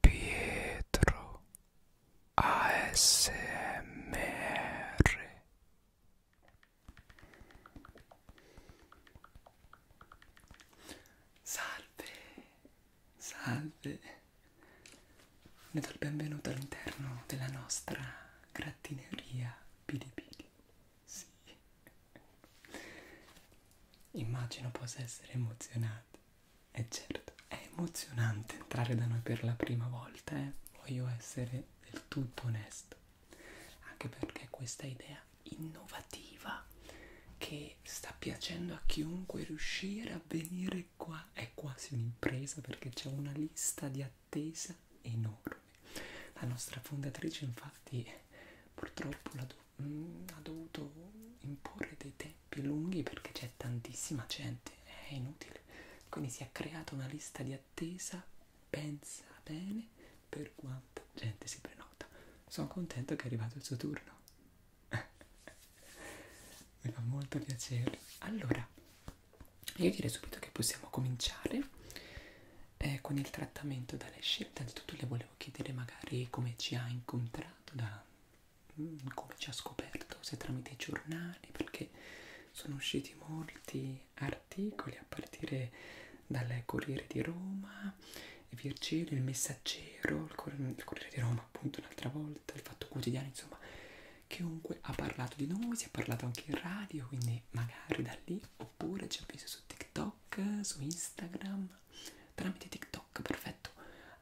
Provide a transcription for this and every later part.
Pietro ASMR Salve, salve, ne do il benvenuto all'interno della nostra grattineria Pilipili. Sì, immagino possa essere emozionato e eh certo, è emozionante entrare da noi per la prima volta, eh? voglio essere del tutto onesto, anche perché questa idea innovativa che sta piacendo a chiunque riuscire a venire qua è quasi un'impresa perché c'è una lista di attesa enorme. La nostra fondatrice infatti purtroppo la dovuta mh, mm, ha dovuto imporre dei tempi lunghi perché c'è tantissima gente, è inutile. Quindi si è creata una lista di attesa, pensa bene per quanta gente si prenota. Sono contento che è arrivato il suo turno. Mi fa molto piacere. Allora, io direi subito che possiamo cominciare eh, con il trattamento da lei scelta. Innanzitutto le volevo chiedere magari come ci ha incontrato da come ci ha scoperto, se tramite i giornali, perché sono usciti molti articoli a partire dal Corriere di Roma, Virgilio, il Messaggero, il Corriere, il Corriere di Roma appunto un'altra volta, il Fatto Quotidiano, insomma chiunque ha parlato di noi, si è parlato anche in radio, quindi magari da lì, oppure ci ha visto su TikTok, su Instagram, tramite TikTok, perfetto.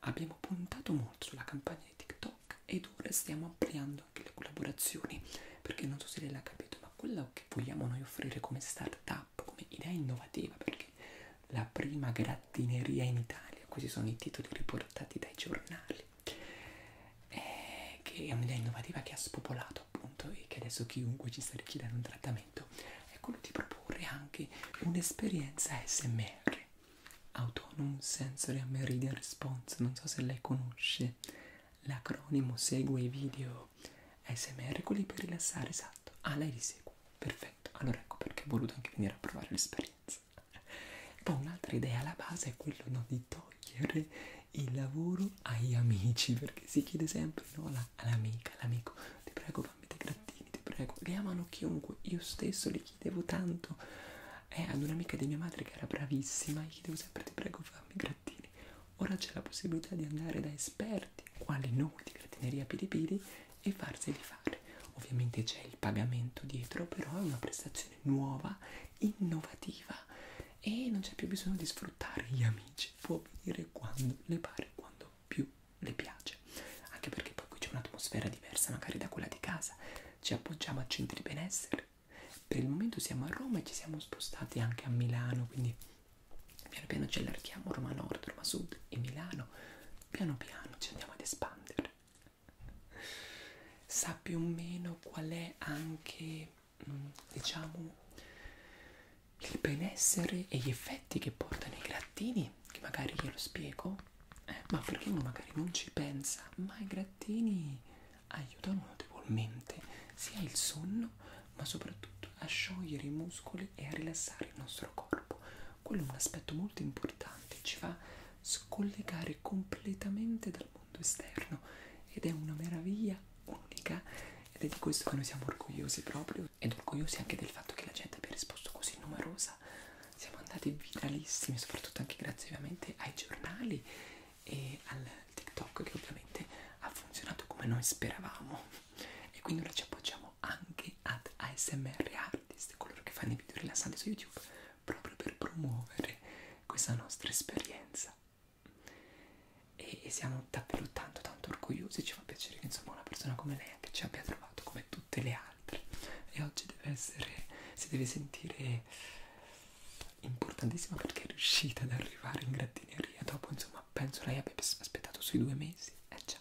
Abbiamo puntato molto sulla campagna di TikTok ed ora stiamo ampliando anche le collaborazioni, perché non so se lei l'ha capito, ma quello che vogliamo noi offrire come startup, come idea innovativa, perché la prima grattineria in Italia, questi sono i titoli riportati dai giornali, è che è un'idea innovativa che ha spopolato appunto e che adesso chiunque ci sta richiedendo un trattamento è quello di proporre anche un'esperienza SMR, Autonomous Sensory Meridian Response, non so se lei conosce, l'acronimo segue i video SMR, quelli per rilassare, esatto, ah lei li segue, perfetto, allora ecco perché ho voluto anche venire a provare l'esperienza. Poi un'altra idea alla base è quello no, di togliere il lavoro agli amici, perché si chiede sempre no, all'amica, all'amico, ti prego fammi dei grattini, ti prego. Li amano chiunque. Io stesso li chiedevo tanto. E eh, ad un'amica di mia madre che era bravissima, gli chiedevo sempre ti prego fammi i grattini. Ora c'è la possibilità di andare da esperti, quali noi di gratineria Piripiri, e farseli fare. Ovviamente c'è il pagamento dietro, però è una prestazione nuova, innovativa e non c'è più bisogno di sfruttare gli amici. Può venire quando le pare, quando più le piace anche perché poi qui c'è un'atmosfera diversa magari da quella di casa ci appoggiamo a centri benessere per il momento siamo a Roma e ci siamo spostati anche a Milano quindi piano piano ci allarghiamo Roma Nord, Roma Sud e Milano piano piano ci andiamo ad espandere sa più o meno qual è anche mm, diciamo il benessere e gli effetti che portano i grattini che magari glielo spiego ma Ferrino magari non ci pensa, ma i grattini aiutano notevolmente sia il sonno, ma soprattutto a sciogliere i muscoli e a rilassare il nostro corpo. Quello è un aspetto molto importante, ci fa scollegare completamente dal mondo esterno ed è una meraviglia unica ed è di questo che noi siamo orgogliosi proprio ed orgogliosi anche del fatto che la gente abbia risposto così numerosa messa siamo andati viralissimi soprattutto anche grazie ovviamente ai giornali e al TikTok che ovviamente ha funzionato come noi speravamo e quindi ora ci appoggiamo anche ad ASMR Artist coloro che fanno i video rilassanti su YouTube proprio per promuovere questa nostra esperienza e siamo davvero tanto tanto orgogliosi ci fa piacere che insomma una persona come lei anche ci abbia trovato come tutte le altre altri e oggi deve essere, si deve sentire importantissima perché è riuscita ad arrivare in gratineria dopo insomma penso lei abbia aspettato sui due mesi eh già,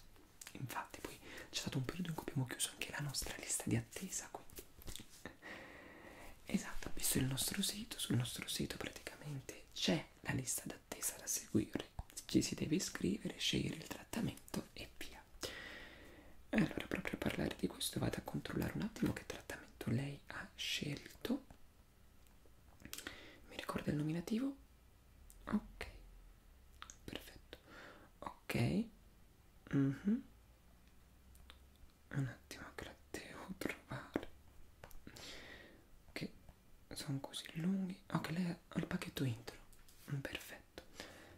infatti poi c'è stato un periodo in cui abbiamo chiuso anche la nostra lista di attesa quindi esatto, visto il nostro sito, sul nostro sito praticamente c'è la lista d'attesa da seguire ci si deve iscrivere, scegliere il trattamento e via eh, allora, proprio a parlare di questo, vado a controllare un attimo che trattamento lei ha scelto. Mi ricorda il nominativo? Ok, perfetto. Ok, mm -hmm. un attimo che la devo trovare. Che okay. sono così lunghi. Ok, lei al, al pacchetto intro mm, perfetto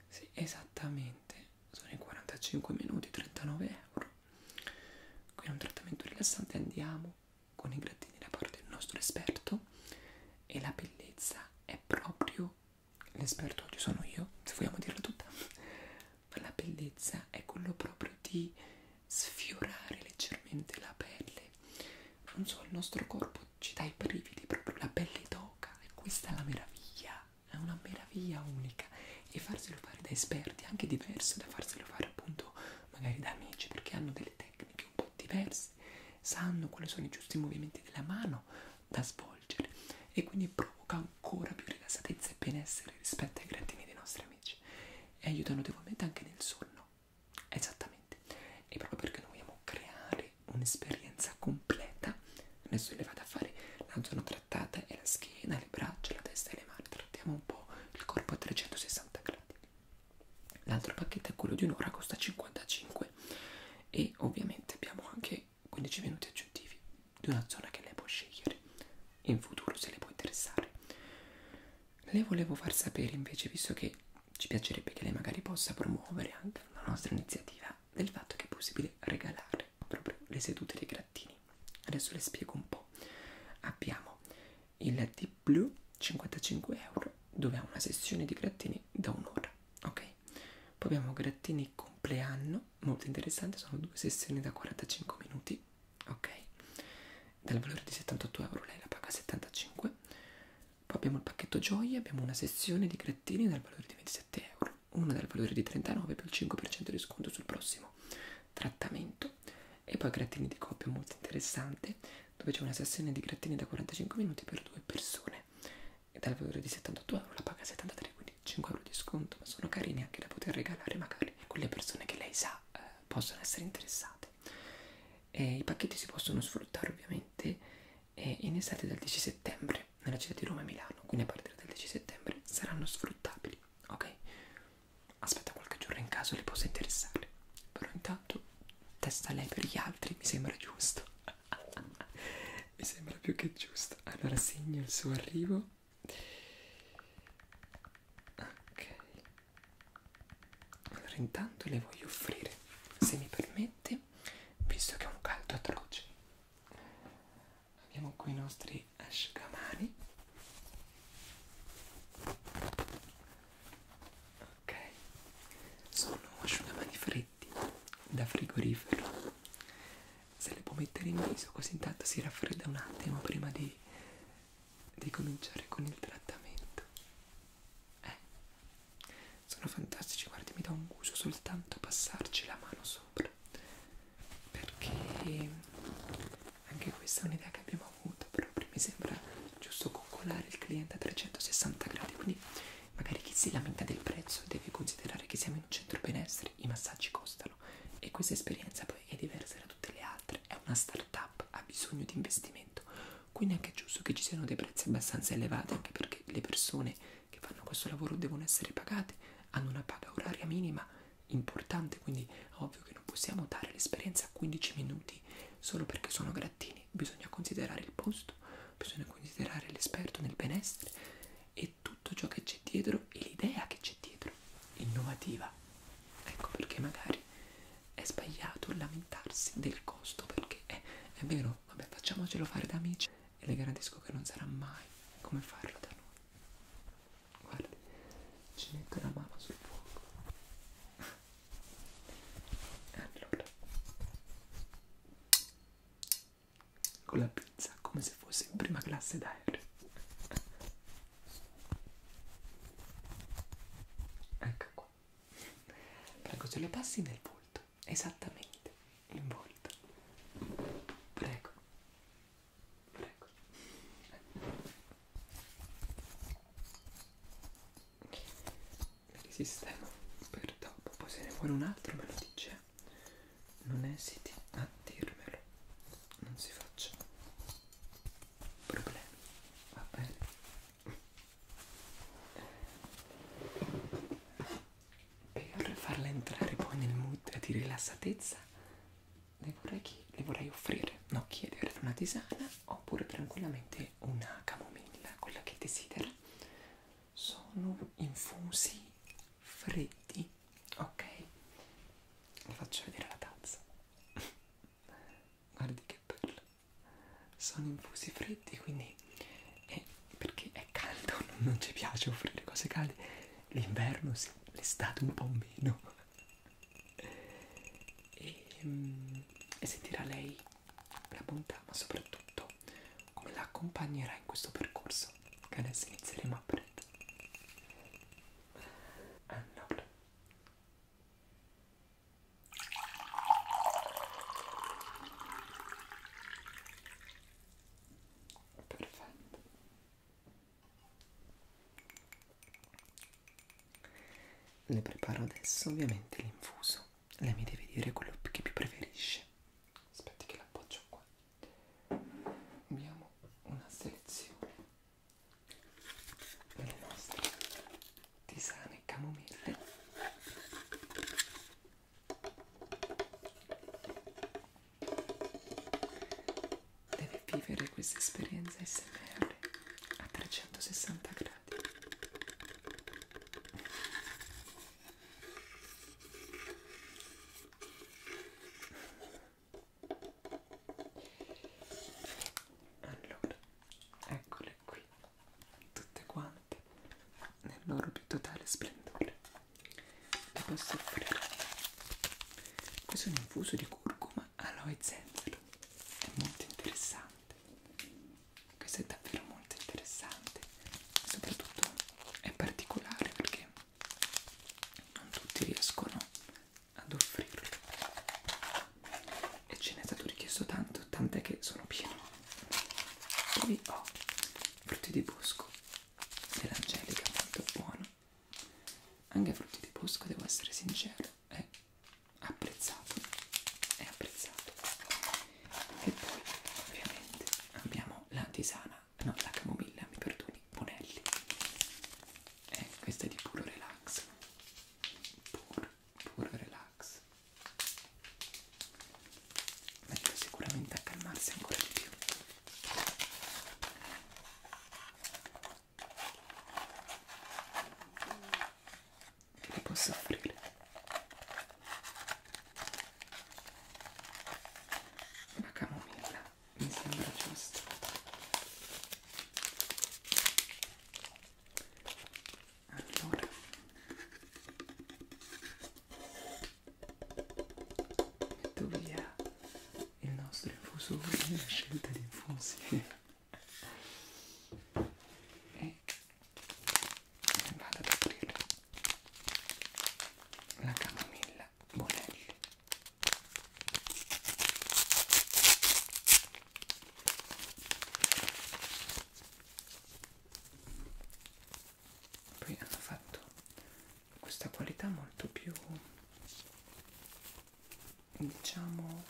sì, esattamente sono i 45 minuti 39 euro qui è un trattamento rilassante andiamo con i grattini da parte del nostro esperto e la bellezza è proprio l'esperto oggi sono io se vogliamo dirla tutta ma la bellezza è quello proprio di sfiorare leggermente la pelle non so il nostro corpo ci dà i brividi, proprio la pelle d'oca e questa è la meraviglia, è una meraviglia unica e farselo fare da esperti è anche diverso da farselo fare appunto magari da amici perché hanno delle tecniche un po' diverse, sanno quali sono i giusti movimenti della mano da svolgere e quindi provoca ancora più rilassatezza e benessere rispetto ai grattini dei nostri amici e aiuta notevolmente anche nel sonno esattamente e proprio perché noi vogliamo creare un'esperienza completa. Adesso le vado a fare la zona trattata e la schiena, le braccia, la testa e le mani. Trattiamo un po' il corpo a 360 gradi. L'altro pacchetto è quello di un'ora, costa 55 e ovviamente abbiamo anche 15 minuti aggiuntivi di una zona che lei può scegliere in futuro se le può interessare. Le volevo far sapere invece, visto che ci piacerebbe che lei magari possa promuovere anche una nostra iniziativa del fatto che è possibile regalare proprio le sedute dei grattini. Adesso le spiego un po'. Abbiamo il Deep Blue 55 euro dove ha una sessione di grattini da un'ora, ok? Poi abbiamo grattini compleanno, molto interessante, sono due sessioni da 45 minuti, ok? Dal valore di 78 euro lei la paga 75. Poi abbiamo il pacchetto gioie, abbiamo una sezione di grattini dal valore di 27 euro, una dal valore di 39 più il 5% di sconto sul prossimo trattamento e poi grattini di coppia molto interessante dove c'è una sessione di grattini da 45 minuti per due persone e dal valore di 78 euro la paga 73 quindi 5 euro di sconto ma sono carini anche da poter regalare magari a quelle persone che lei sa eh, possono essere interessate e i pacchetti si possono sfruttare ovviamente e in estate dal 10 settembre nella città di Roma e Milano, quindi a partire dal 10 settembre saranno sfruttabili, ok? Aspetta qualche giorno in caso le possa interessare, però intanto testa lei per gli altri, mi sembra giusto, mi sembra più che giusto. Allora segno il suo arrivo. Ok, allora intanto le voglio offrire, se mi permette, caldi visto che è un caldo atroce abbiamo qui i nostri asciugamani ok sono asciugamani freddi da frigorifero se li può mettere in viso così intanto si raffredda un attimo prima di, di cominciare con il trattamento eh, sono fantastici, guardi, mi dà un gusto soltanto passarci la mano sopra. Perché anche questa è un'idea che abbiamo avuto, proprio mi sembra giusto coccolare il cliente a 360 gradi, quindi magari chi si lamenta del prezzo deve considerare che siamo in un centro benessere, i massaggi costano e questa esperienza poi è diversa da tutte le altre, è una start-up, ha bisogno di investimenti momento quindi è anche giusto che ci siano dei prezzi abbastanza elevati anche perché le persone che fanno questo lavoro devono essere pagate hanno una paga oraria minima importante quindi ovvio che non possiamo dare l'esperienza a 15 minuti solo perché sono grattini bisogna considerare il posto bisogna considerare l'esperto nel benessere e tutto ciò che c'è dietro e l'idea che c'è dietro innovativa ecco perché magari è sbagliato lamentarsi del costo perché è, è vero dicono vabbè facciamocelo fare da amici e le garantisco che non sarà mai come farlo da noi guardi ci metto la mano sul fuoco allora con la pizza come se fosse in prima classe d'aereo ecco qua prego se lo passi nel volto esattamente in volto. Prego, prego. Risistemo per dopo. Poi se ne vuole un altro me lo dice. Non esiti a dirmelo. Non si faccia problemi. Va bene. Per farla entrare poi nel mood di rilassatezza le vorrei, le vorrei offrire, no chiedere una tisana oppure tranquillamente una camomilla, quella che desidera. Sono infusi freddi, ok? Vi faccio vedere la tazza. Guardi che bello sono infusi freddi quindi è perché è caldo non ci piace offrire cose calde l'inverno sì l'estate un po' meno e, mm, e sentirà lei la bontà ma soprattutto come la accompagnerà in questo percorso che adesso inizieremo a prendere allora perfetto le preparo adesso ovviamente l'infuso lei mi deve dire quello che più preferisce aspetti che l'appoggio qua abbiamo una selezione delle nostre tisane e camomille deve vivere questa esperienza SMR a 360 gradi allora, eccolo fanciulle qui, tutte quante, nel loro più totale splendore. Le posso offrire. Questo è un infuso di curcuma, aloe e zenzero. È molto interessante. Questo è davvero molto interessante. Soprattutto è particolare perché non tutti riescono ad offrirlo. E ce n'è stato richiesto tanto, tant'è che sono pieno. Poi ho frutti di bosco dell'angelica, molto buono. Anche frutti di bosco, devo essere sincero, è apprezzato, è apprezzato. E poi ovviamente abbiamo la tisana, no la camomilla, mi perdoni, Bonelli. Eh, questa è di puro relax, puro puro relax mi aiuta sicuramente a calmarsi ancora di più che le posso offrire? una camomilla mi sembra giusto allora metto via il nostro infusore la scelta di infusi e vado ad aprire la camomilla Bonelli poi hanno fatto questa qualità molto più diciamo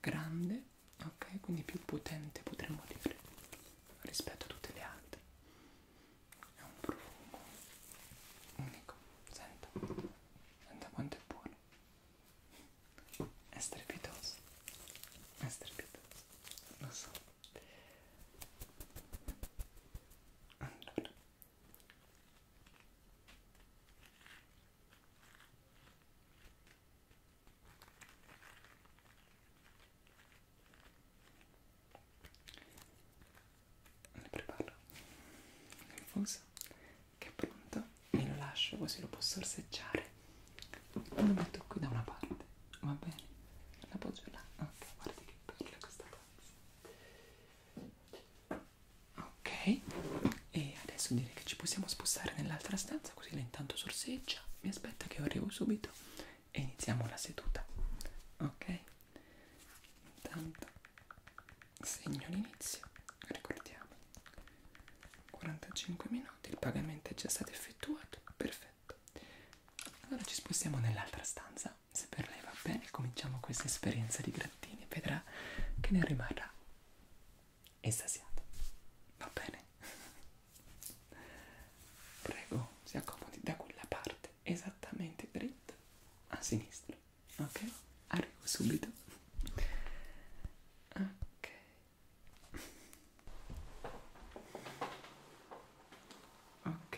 grande ok quindi più potente potremmo dire rispetto a tutte le altre è un profumo unico senta senta quanto è buono è strepitoso, è strepitoso, lo so. Allora. Le preparo il fuso che è pronto e lo lascio così lo posso orseggiare lo metto qui da una parte va bene la poggio là ok guarda che bella questa tazza ok e adesso direi che ci possiamo spostare nell'altra stanza così la intanto sorseggia mi aspetta che io arrivo subito e iniziamo la seduta ok intanto segno l'inizio ricordiamo 45 minuti, il pagamento è già stato effettuato, perfetto. Allora ci spostiamo nell'altra stanza, se per lei va bene cominciamo questa esperienza di grattini, vedrà che ne rimarrà estasiato, va bene? Prego, si accomodi da quella parte, esattamente dritto a sinistra, ok? Arrivo subito. Ok, Ok,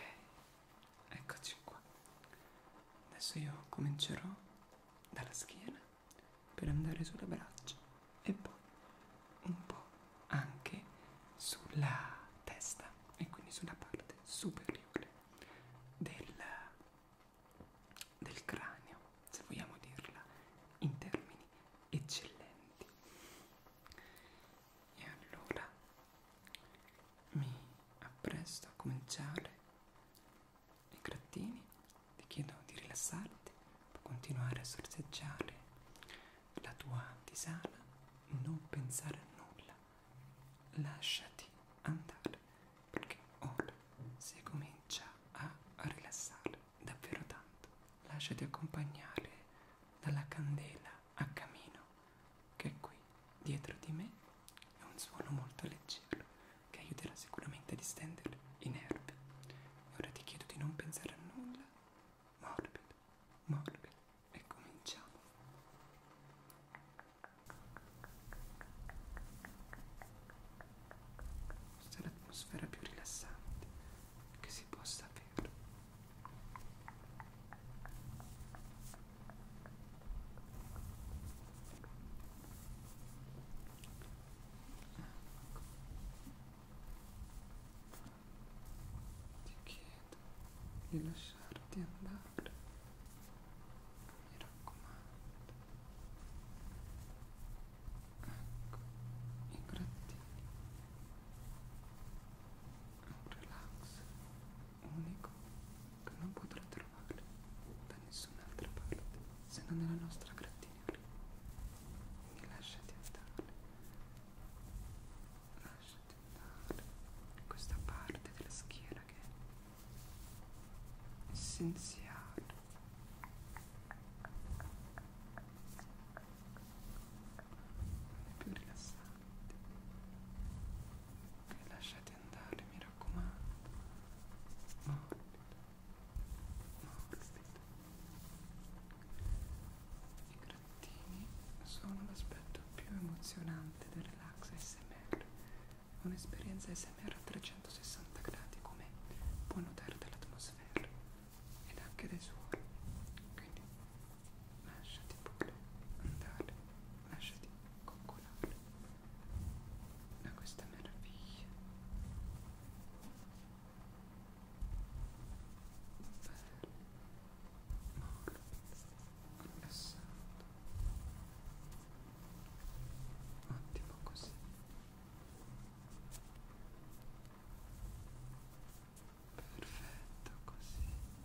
eccoci qua. Adesso io comincerò dalla schiena per andare sulle braccia e poi un po' anche sulla testa e quindi sulla parte superiore del, del cranio, se vogliamo dirla in termini eccellenti e allora mi appresto a cominciare i grattini ti chiedo di rilassarti puoi continuare a sorseggiare la tua tisana non pensare a nulla lasciati andare perché ora si comincia a rilassare davvero tanto. Lasciati accompagnare dalla candela a camino che è qui dietro di me. È un suono molto leggero che aiuterà sicuramente a distendere i nervi. E ora ti chiedo di non pensare a nulla. Morbido, morbido. E cominciamo. Questa è l'atmosfera più rilassante che si possa avere. Ecco. Ti chiedo di lasciarti andare, mi raccomando ecco, i grattini un relax unico che non potrà trovare da nessun'altra parte se non nella nostra gratitudine quindi lasciati andare lasciati andare questa parte della schiena che è essenziale più rilassanti e lasciate andare mi raccomando morbido morbido i grattini sono l'aspetto più emozionante del relax ASMR un'esperienza ASMR a 360 gradi come puoi notare dall'atmosfera ed anche dai suoni quindi lasciati pure andare lasciati coccolare da questa meraviglia bello molto rilassato ottimo così perfetto così ottimo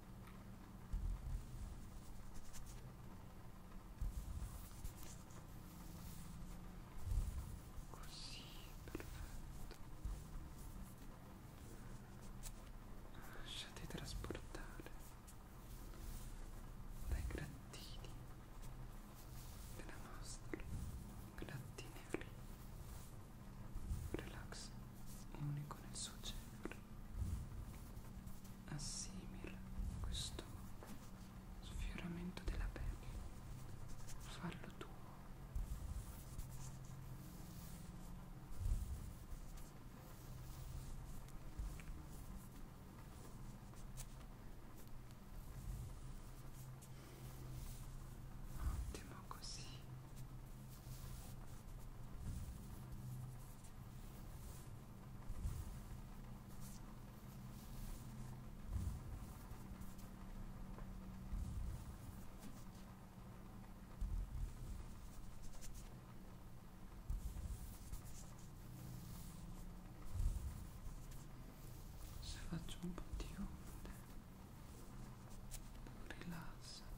Così, perfetto. Lasciate trasportare dai grattini della nostra grattineria. Relax unico nel suo genere, assimila questo sfioramento della pelle, farlo tuo. Ottimo così se faccio un po' di onde rilassati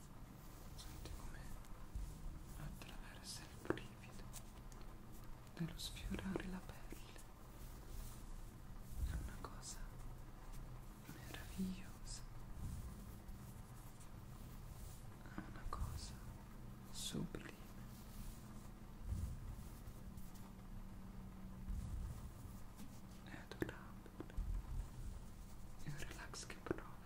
Senti come attraversa il brivido dello sfiorare la pelle. È una cosa meravigliosa. È una cosa sublime. È adorabile il relax che provo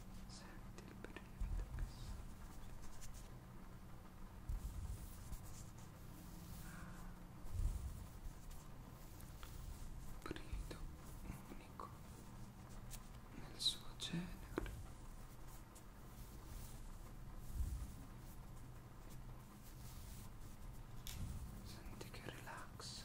senti il brivido che sorge brivido unico nel suo genere Senti che relax.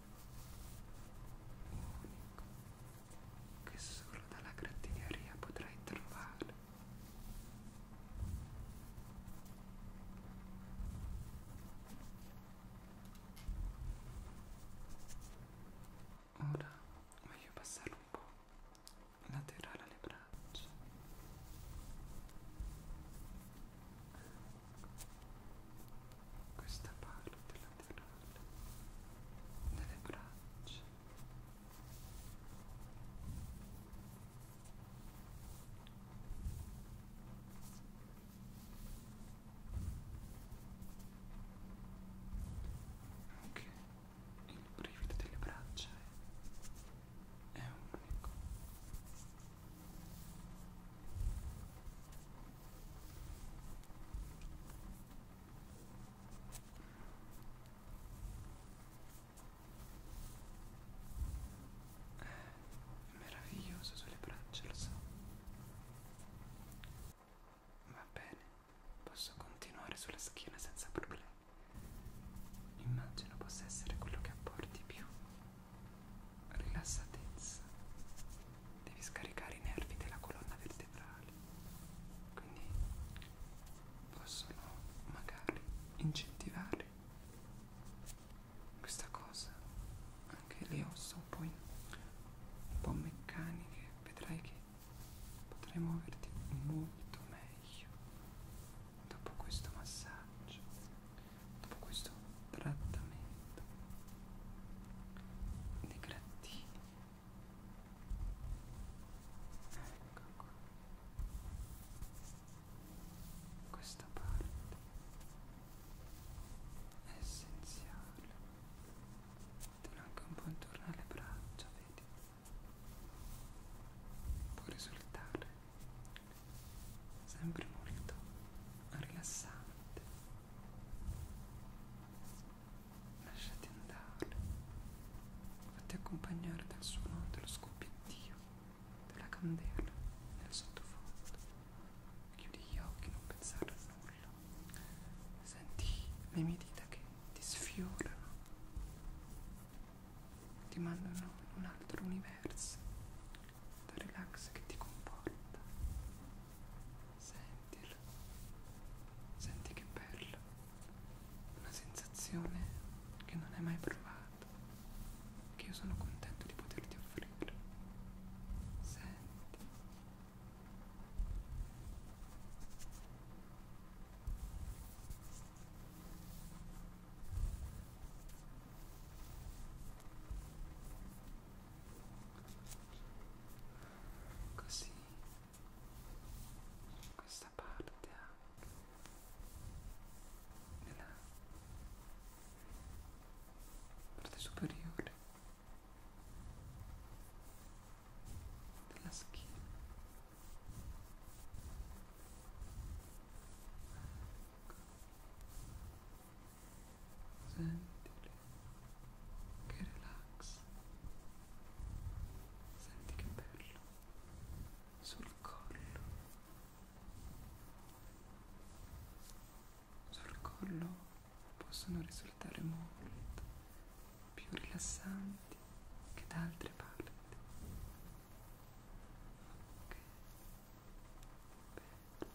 unico che solo dalla grattineria potrai trovare. Ora voglio passare un po' laterale alle braccia questa parte laterale delle braccia anche il brivido delle braccia è, è unico è meraviglioso sulle braccia, lo so. Va bene, posso continuare sulla schiena senza problemi. Immagino possa essere quello che apporti più rilassatezza devi scaricare i nervi della colonna vertebrale quindi possono magari incentivare questa cosa anche le ossa un po', in, un po meccaniche vedrai che potrai muoverti molto meglio dopo questo massaggio dopo questo trattamento di grattini ecco qua questa parte è essenziale metterò anche un po' intorno alle braccia vedi può risultare sempre molto rilassante lasciati andare fatti accompagnare dal suono dello scoppiettio della candela nel sottofondo chiudi gli occhi non pensare a nulla senti le mie dita che ti sfiorano ti mandano in un altro universo il relax che ti comporta. Sentilo, senti che bello, una sensazione che non hai mai provato, che io sono contento di poterti offrire. Senti così questa parte anche nella parte superiore della schiena ecco sentili che relax senti che bello sul collo sul collo possono risultare molto più rilassanti che da altre parti ok Bello.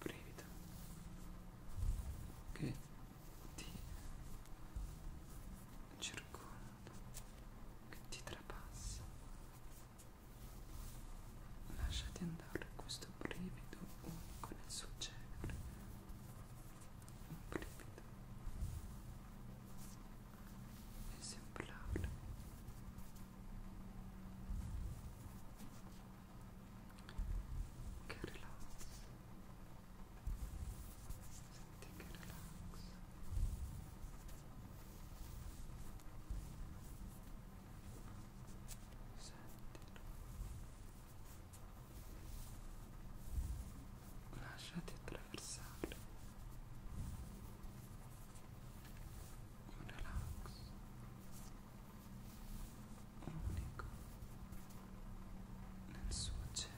brevita che ti circonda, che ti trapassa. Lasciati andare dare questo brivido unico nel suo genere un brivido esemplare che relax senti che relax sentilo lasciati attraversare un relax unico nel suo genere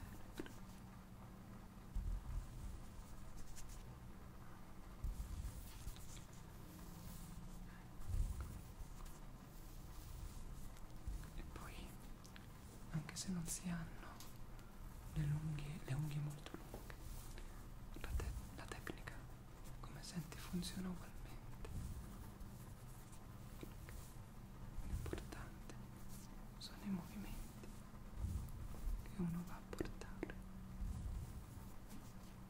Ecco e poi anche se non si hanno le, lunghe, le unghie molto lunghe la, te la tecnica come senti funziona ugualmente l'importante sono i movimenti che uno va a portare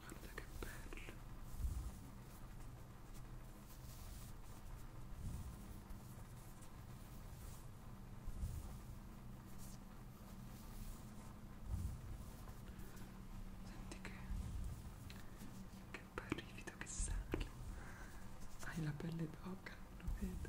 guarda che bello senti che che brivido che sale hai la pelle d'oca lo vedo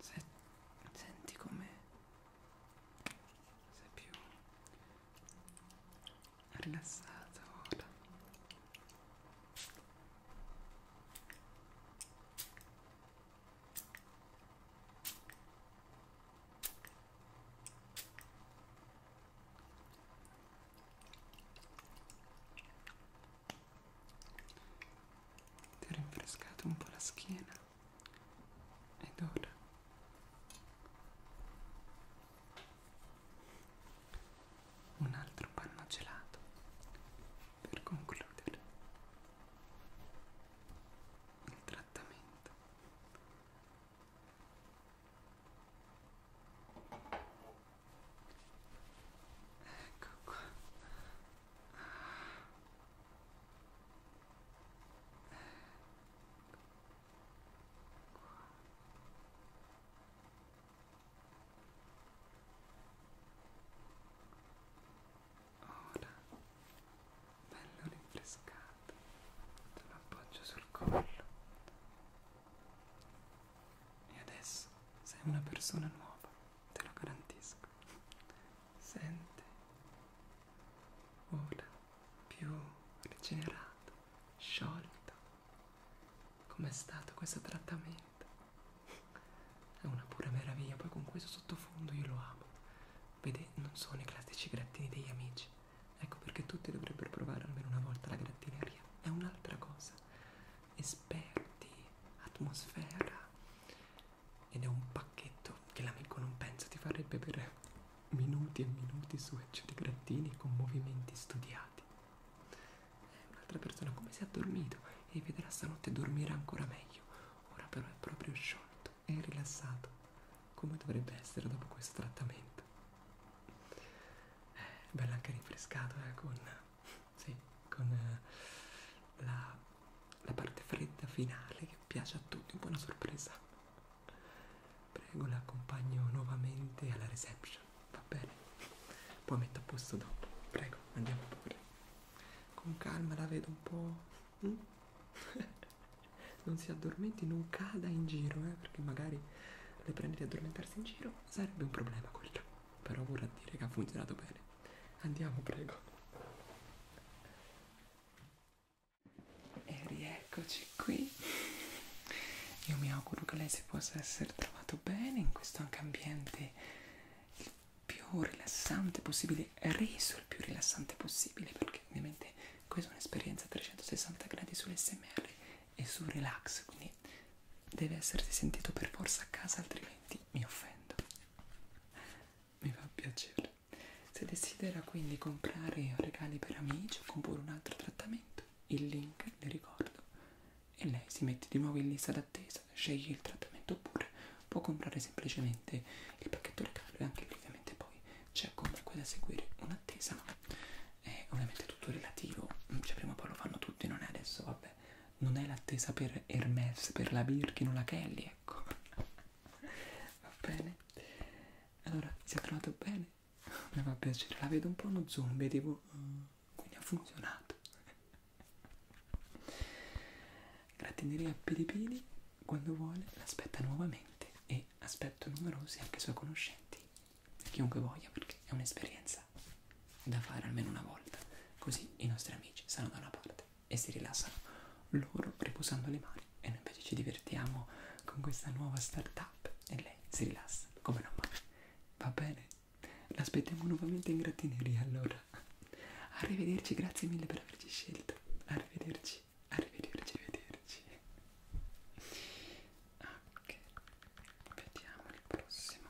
Se, senti come sei più rilassata ora ti ho rinfrescato un po' la schiena ed ora un altro panno gelato per concludere il trattamento ecco qua ecco qua ora bello rinfrescato te lo appoggio sul collo e adesso sei una persona nuova te lo garantisco sente ora più rigenerato sciolto Com'è stato questo trattamento? È una pura meraviglia, poi con questo sottofondo io lo amo. Vede, non sono i classici grattini degli amici. Ecco perché tutti dovrebbero provare almeno una volta la grattineria. È un'altra cosa. Esperti, atmosfera. Ed è un pacchetto che l'amico non pensa ti farebbe per minuti e minuti su ecce di grattini con movimenti studiati. Eh, un'altra persona come si è addormito e vedrà stanotte dormire ancora meglio. Ora però è proprio sciolto e rilassato, come dovrebbe essere dopo questo trattamento. Eh, bello anche rinfrescato eh, con, sì, con eh, la, la parte fredda finale che piace a tutti, un po' una sorpresa. Prego, la accompagno nuovamente alla reception, va bene? Poi metto a posto dopo, prego, andiamo pure. Con calma la vedo un po'. Mm? non si addormenti, non cada in giro, eh, perché magari le prende di addormentarsi in giro, sarebbe un problema quello. Però vorrà dire che ha funzionato bene. Andiamo, prego. E rieccoci qui. Io mi auguro che lei si possa essere trovato bene in questo anche ambiente il più rilassante possibile, reso il più rilassante possibile, perché ovviamente questa è un'esperienza a 360 gradi sull'SMR e sul relax, quindi deve essersi sentito per forza a casa, altrimenti mi offendo. Mi fa piacere. Se desidera quindi comprare regali per amici o comporre un altro trattamento, il link, le ricordo, e lei si mette di nuovo in lista d'attesa, sceglie il trattamento oppure può comprare semplicemente il pacchetto regalo e anche lì ovviamente poi c'è comunque da seguire un'attesa, ma è ovviamente tutto relativo, mm, cioè prima o poi lo fanno tutti, non è adesso, vabbè, non è l'attesa per Hermes, per la Birkin o la Kelly, ecco. Va bene? Allora, si è trovato bene? mi fa piacere, la vedo un po' uno zombie, tipo, eh, quindi ha funzionato. Gratineria Piripiri, quando vuole, l'aspetta nuovamente e aspetto numerosi anche suoi conoscenti, chiunque voglia, perché è un'esperienza da fare almeno una volta, così i nostri amici saranno da una parte e si rilassano loro riposando le mani e noi invece ci divertiamo con questa nuova startup up e lei si rilassa, come non mai. Va bene, l'aspettiamo nuovamente in grattineria allora. Arrivederci, grazie mille per averci scelto. Arrivederci, arrivederci, arrivederci. Ok, vediamo il prossimo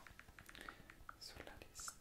sulla lista.